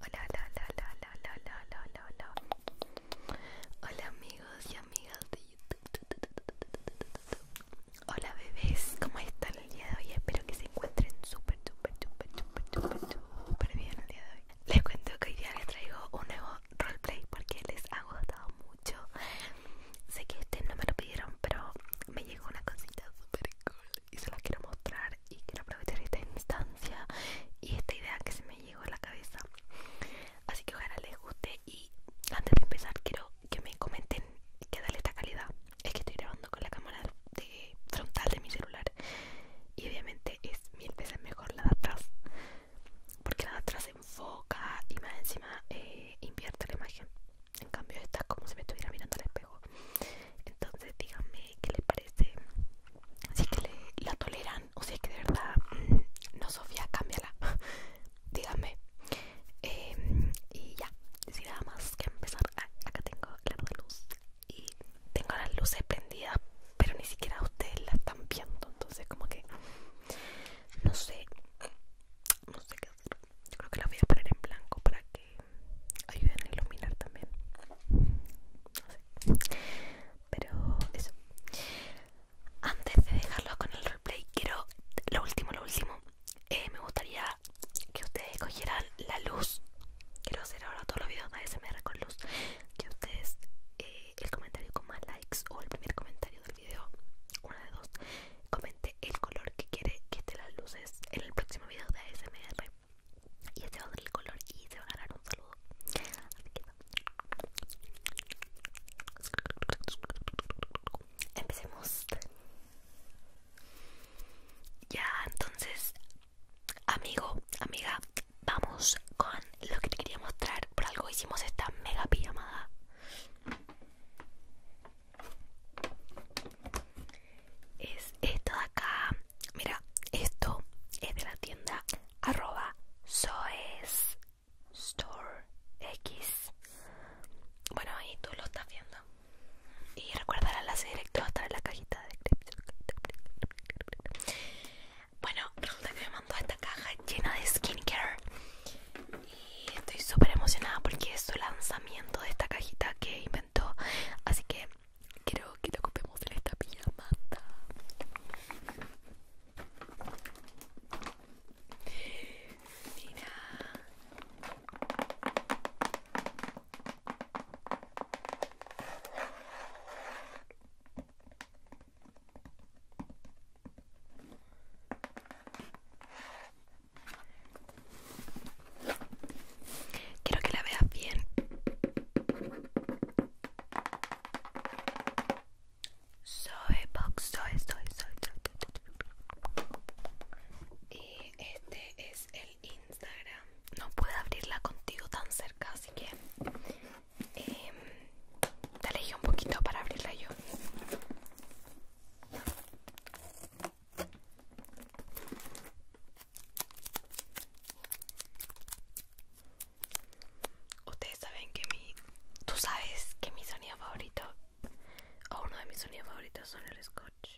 Hola, hola, hola, hola, hola, hola, hola, hola, hola, hola, amigos y amigas de YouTube. Hola, bebés, ¿cómo están el día de hoy? Espero que se encuentren súper, súper, súper, súper, súper, súper bien el día de hoy. Les cuento que hoy día les traigo un nuevo roleplay porque les ha gustado mucho. Sé que este no me lo pidieron, pero me llegó una cosita súper cool y se las quiero mostrar y quiero aprovechar esta instancia y esta idea que se me llegó a la cabeza así que ojalá les guste y antes de empezar quiero que me comenten qué tal esta calidad es que estoy grabando con la cámara frontal de mi celular y obviamente es mil veces mejor la de atrás porque la de atrás enfoca y más encima eh, invierte la imagen en cambio esta es como si me estuviera mirando al espejo entonces díganme qué le parece si que le, la toleran o es que de verdad mm, no Sofía cámbiala díganme dígame em, y ya si nada más que empezar ah, acá tengo la luz y tengo las luces prendidas pero ni siquiera ustedes la están viendo entonces como que no sé no sé qué hacer yo creo que la voy a poner en blanco para que Ayuden a iluminar también. Pero eso. Antes de dejarlo con el replay quiero lo último, lo último. Eh, me gustaría que ustedes cogieran la luz. Quiero hacer ahora todos los videos de ASMR con luz. Que ustedes, eh, el comentario con más likes o el primer comentario del video, una de dos, comente el color que quiere que estén las luces en el próximo video de ASMR y este va a el color y se va a ganar un saludo empecemos ya entonces amigo amiga vamos con lo que te quería mostrar por algo hicimos esta mega pijamada es esto de acá Mira, esto es de la tienda arroba soes store x. Bueno, ahí tú lo estás viendo. Y recuerda el enlace directo hasta en la cajita de Bueno, resulta que me mandó esta caja llena de skincare. Y estoy súper emocionada porque es su lanzamiento de esta cajita que inventó. Así que Quiero que lo ocupemos en esta pijamata. Mira. Quiero que la veas bien. Soy box, soy, soy, soy. Y este es el Instagram. No puedo abrirla contigo tan cerca, así que em, te alejé un poquito para abrirla yo. Ustedes saben que mi... Tú sabes que mi sonido favorito, o uno de mis sonidos favoritos, son el scotch.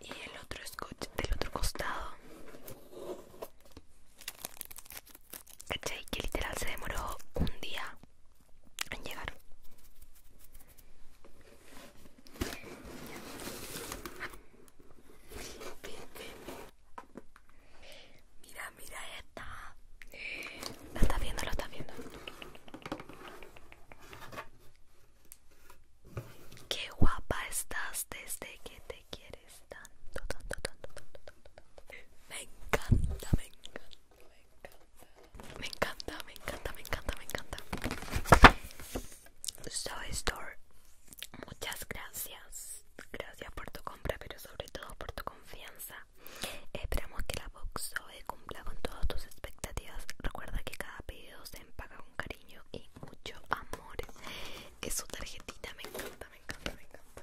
Y el otro scotch del otro costado ¿Cachai? Que literal se demoró un día en llegar. Mira, mira esta. la estás viendo, lo estás viendo. Qué guapa estás desde que te quieres! Me encanta, me encanta, me encanta. Me encanta, me encanta, me encanta, Store, muchas gracias. Gracias por tu compra, pero sobre todo por tu confianza. Esperamos que la box cumpla con todas tus expectativas. Recuerda que cada pedido se empaca con cariño y mucho amor. Es su tarjetita, me encanta me encanta, me encanta.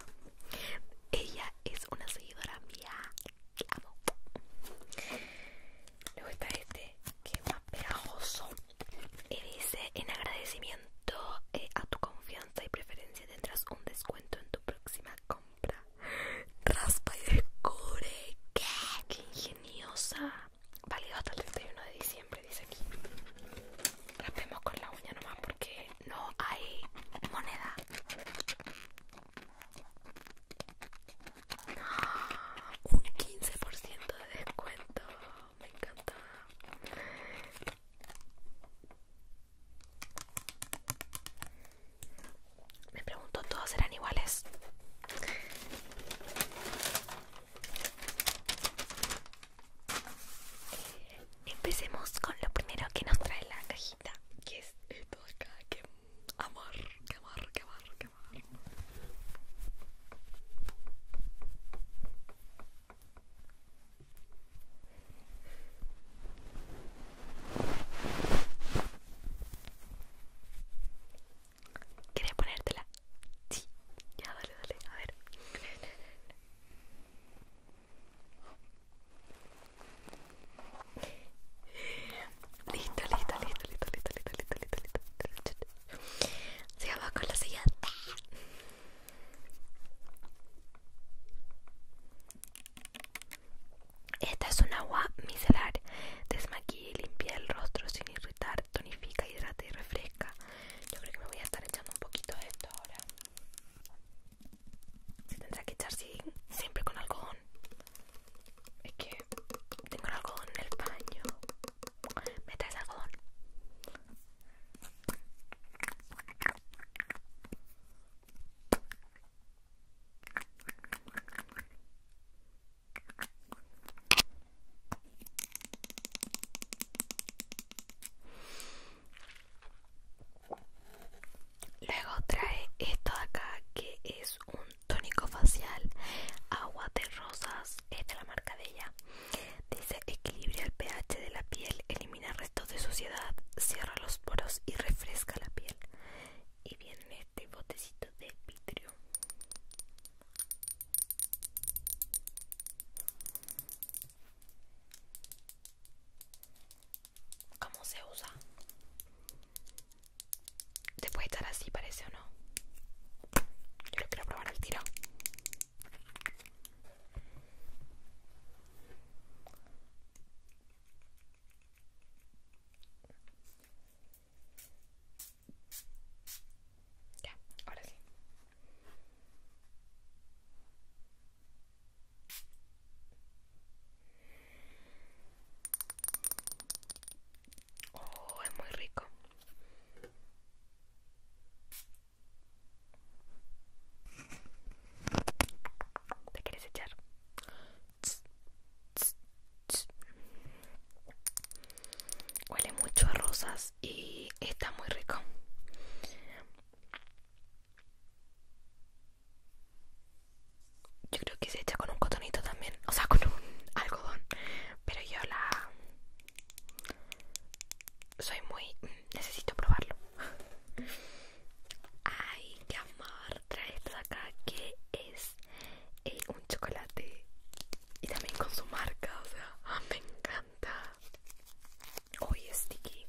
Ella es una seguidora mía. amo. Luego está este, que más pegajoso. Y dice, en agradecimiento eh, a tu confianza y preferencia tendrás un descuento en tu próxima compra. Raspa y descubre. ¿Qué? ingeniosa! Válido hasta el 31 de diciembre, dice aquí. Rapemos con la uña nomás porque no hay moneda. Ah, un 15% de descuento. Me encanta. Me pregunto, ¿todos serán iguales? Empecemos con lo primero que nos trae la cajita, que es esto de acá, que amor, que amor, que amor, que amor. ¿Quieres ponértela? Sí, ya dale, dale, a ver. Listo, listo, listo, listo, listo, listo, listo, listo, listo, listo. con la siguiente. Esta es un agua micelar. Desmaquilla y limpia el rostro sin irritar, tonifica, hidrata y refresca. Yo creo que me voy a estar echando un poquito de esto ahora. Se tendrá que echar siempre con algodón. Es que tengo el algodón en el baño. ¿Me el algodón? Luego trae esto de acá que es un tónico facial agua de rosas, es de la marca de ella. Dice equilibra el pH de la piel, elimina restos de suciedad, cierra los poros y refresca la piel. Y viene este botecito de vidrio ¿Cómo se usa? ¿Te puede estar así, parece o no? Yo quiero probar el tiro. Ya, ahora sí. Oh, es muy rico. ¿Te quieres echar? Huele mucho a rosas y está muy rico yo creo que se echa con un cotonito también o sea con un algodón pero yo la soy muy mm, necesito probarlo ay qué amor trae esto acá que es eh, un chocolate y también con su marca o sea me encanta hoy Uy, Sticky.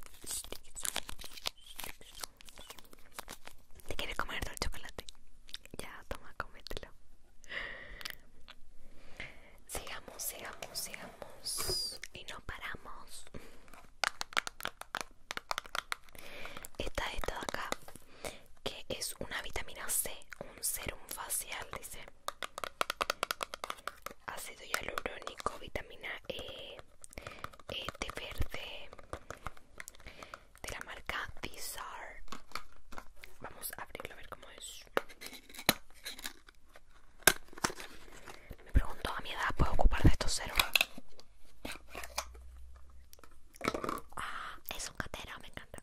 ¿Te quieres comer todo el chocolate? Ya, toma, comételo Sigamos, sigamos, sigamos. Y no paramos. Esta esta de acá, que es una vitamina C, un serum facial, dice ácido hialurónico, vitamina E, este verde de la marca Dizar. Vamos a abrirlo a ver cómo es. Me pregunto a mi edad, ¿puedo ocupar de estos ceros? Ah, es un catero, me encanta.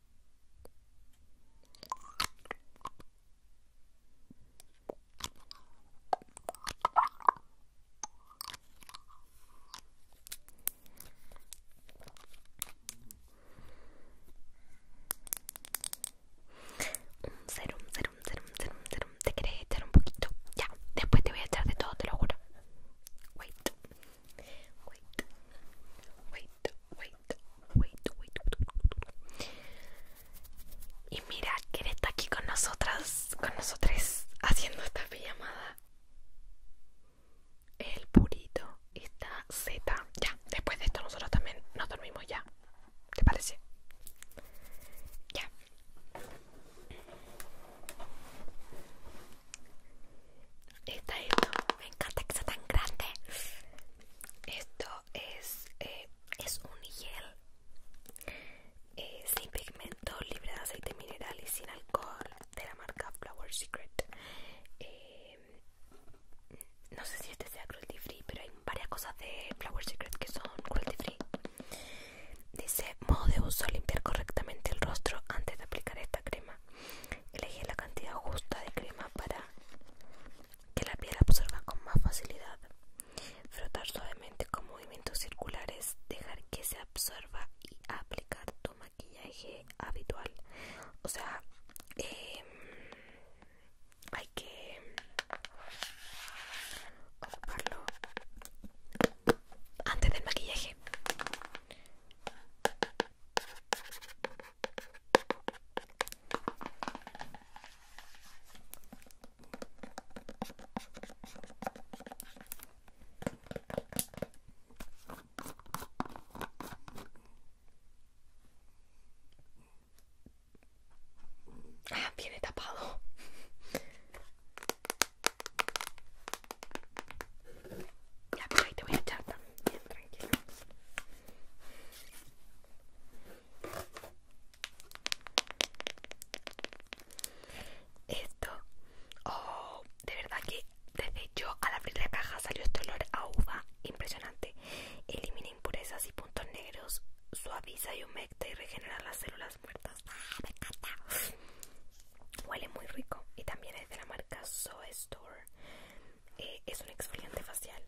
Un serum, serum, serum, Te echar un poquito. Ya, después te voy a echar de todo, te lo juro. Wait. Wait, wait, wait, wait, wait. Y mira, que está aquí con nosotras, con nosotras haciendo esta llamada. El purito está zeta. Ya, después de esto nosotros también nos dormimos ya. ¿Te parece? Ya. Está esto, me encanta que sea tan grande. Esto es, eh, es un gel eh, sin pigmento, libre de aceite mineral y sin alcohol de la marca Flower Secret. Eh, no sé si este sea cruelty free, pero hay varias cosas de Flower Secret que son cruelty free. Dice: modo de uso, limpiar correctamente el rostro antes de aplicar esta crema. Elige la cantidad justa de crema para que la piel absorba con más facilidad. Frotar suavemente con movimientos circulares, dejar que se absorba y aplicar tu maquillaje habitual. O sea, em, hay que antes del maquillaje Ah, viene tapado. Ya, pues ahí te voy a echar también, tranquilo. Esto, oh, de verdad que desde yo al abrir la caja salió este olor a uva impresionante. Elimina impurezas y puntos negros, suaviza y humecta y regenera las células muertas. Ah, me encanta. Huele muy rico y también es de la marca So Store. Eh, es un exfoliante facial.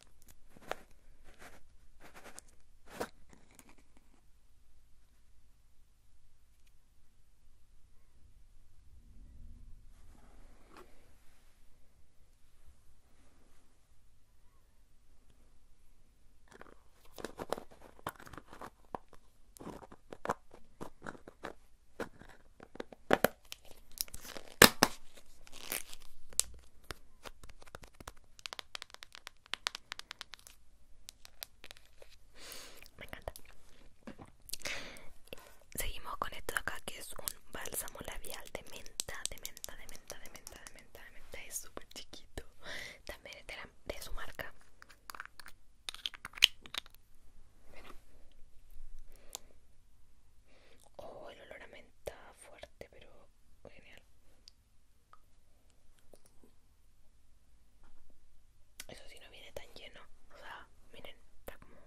Me encanta. Seguimos con esto de acá que es un bálsamo labial de menta, de menta, de menta, de menta, de menta, de menta. Es súper chiquito. También es de, de su marca. Oh, el olor a menta fuerte, pero genial. Eso sí no viene tan lleno. O sea, miren, está como.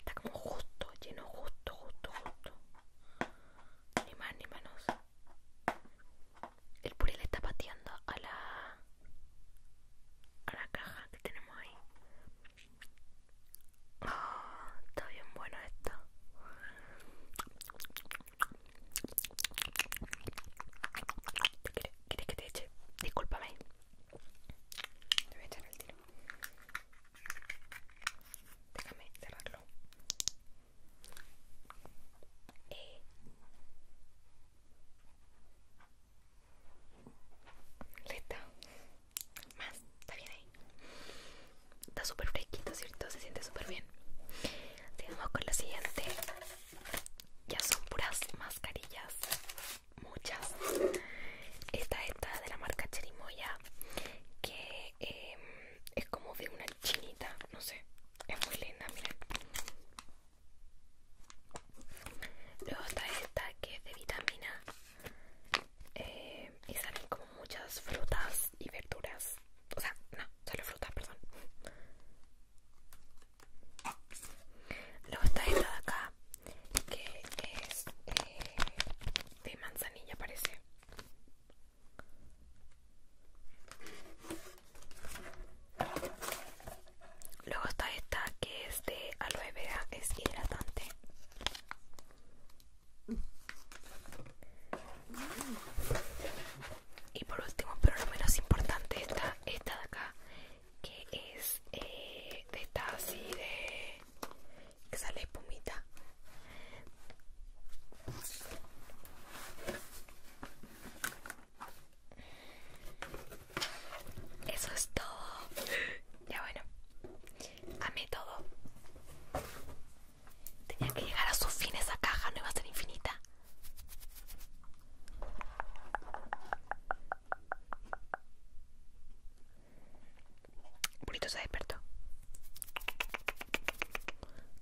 Está como justo, lleno, justo, justo, justo. Ni más ni menos. El puré está pateando a la a la caja que tenemos ahí. Ah, está bien bueno esto. ¿Quieres que te eche? Discúlpame. Te voy a echar el tiro. Déjame cerrarlo. y eh. Listo. Más, está bien ahí. Está súper fresquito, ¿cierto? Se siente súper bien. Sigamos con lo siguiente. Ya son puras mascarillas. Muchas. Esta es de la marca Cherimoya. Que em, es como de una chinita. No sé. Es muy linda, miren. Luego está esta que es de vitamina eh, y salen como muchas frutas y verduras. O sea, no, solo frutas, perdón. Luego está esta de acá que es eh, de manzanilla, parece. Luego está esta que es de aloe vera, es hidratante. Y por último, pero no menos importante, está esta de acá, que es eh, de esta así de... que sale espumita. Eso es todo. Ya bueno, amé todo. Tenía que llegar a su fin esa caja, no iba a ser infinita. Purito se despertó.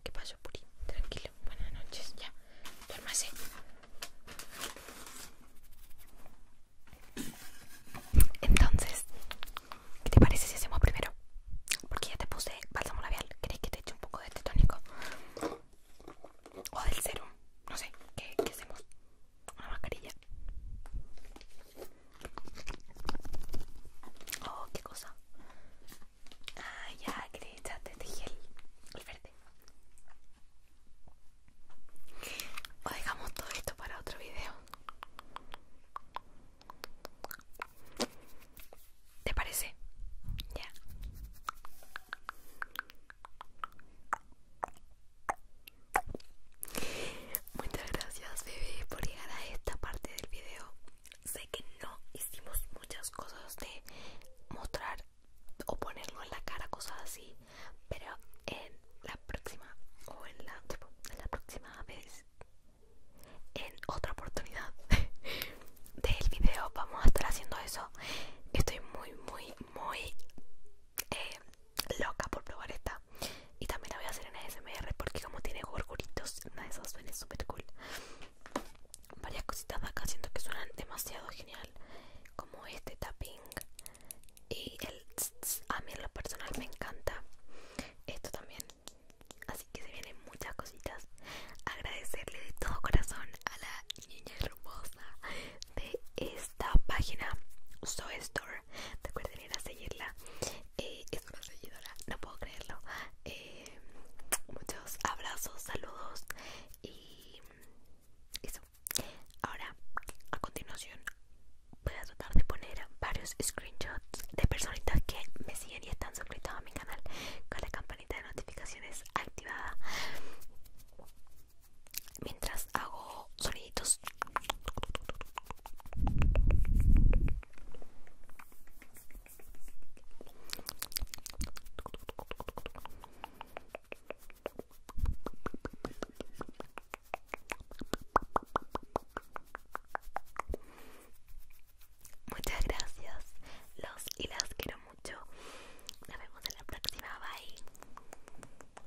¿Qué pasó, Puri? Tranquilo, buenas noches, ya. Duérmase. Entonces, ¿qué te parece si hacemos primero? Porque ya te puse bálsamo labial. ¿Crees que te eche un poco de este tónico? O del serum. No sé, ¿qué, hacemos? Una mascarilla. Oh, qué cosa. Ah, ya, que ya te este gel. El verde. O dejamos todo esto para otro video. ¿Te parece? Ya. Muchas gracias, bebé, por llegar a esta parte del video. Sé que no hicimos muchas cosas de mostrar o ponerlo en la cara, cosas así. Pero en la próxima, o en la, la próxima vez, en otra oportunidad del video, vamos a estar haciendo eso. Estoy muy, muy, muy eh, loca por probar esta. Y también la voy a hacer en ASMR porque, como tiene gorgoritos una de esas suena súper cool. Varias cositas acá siento que suenan demasiado genial como este tapping y el a mí en lo personal me encanta esto también así que se vienen muchas cositas agradecerle de todo corazón a la niña hermosa de esta página Soy Store recuerden ir a seguirla eh, es una seguidora no puedo creerlo eh, muchos abrazos saludos y eso Ahora, a continuación, voy a tratar de poner varios screenshots de personitas que me siguen y están suscritos a mi canal con la campanita de notificaciones activada mientras hago soniditos. Muchas gracias, los y las quiero mucho. Nos vemos en la próxima, bye.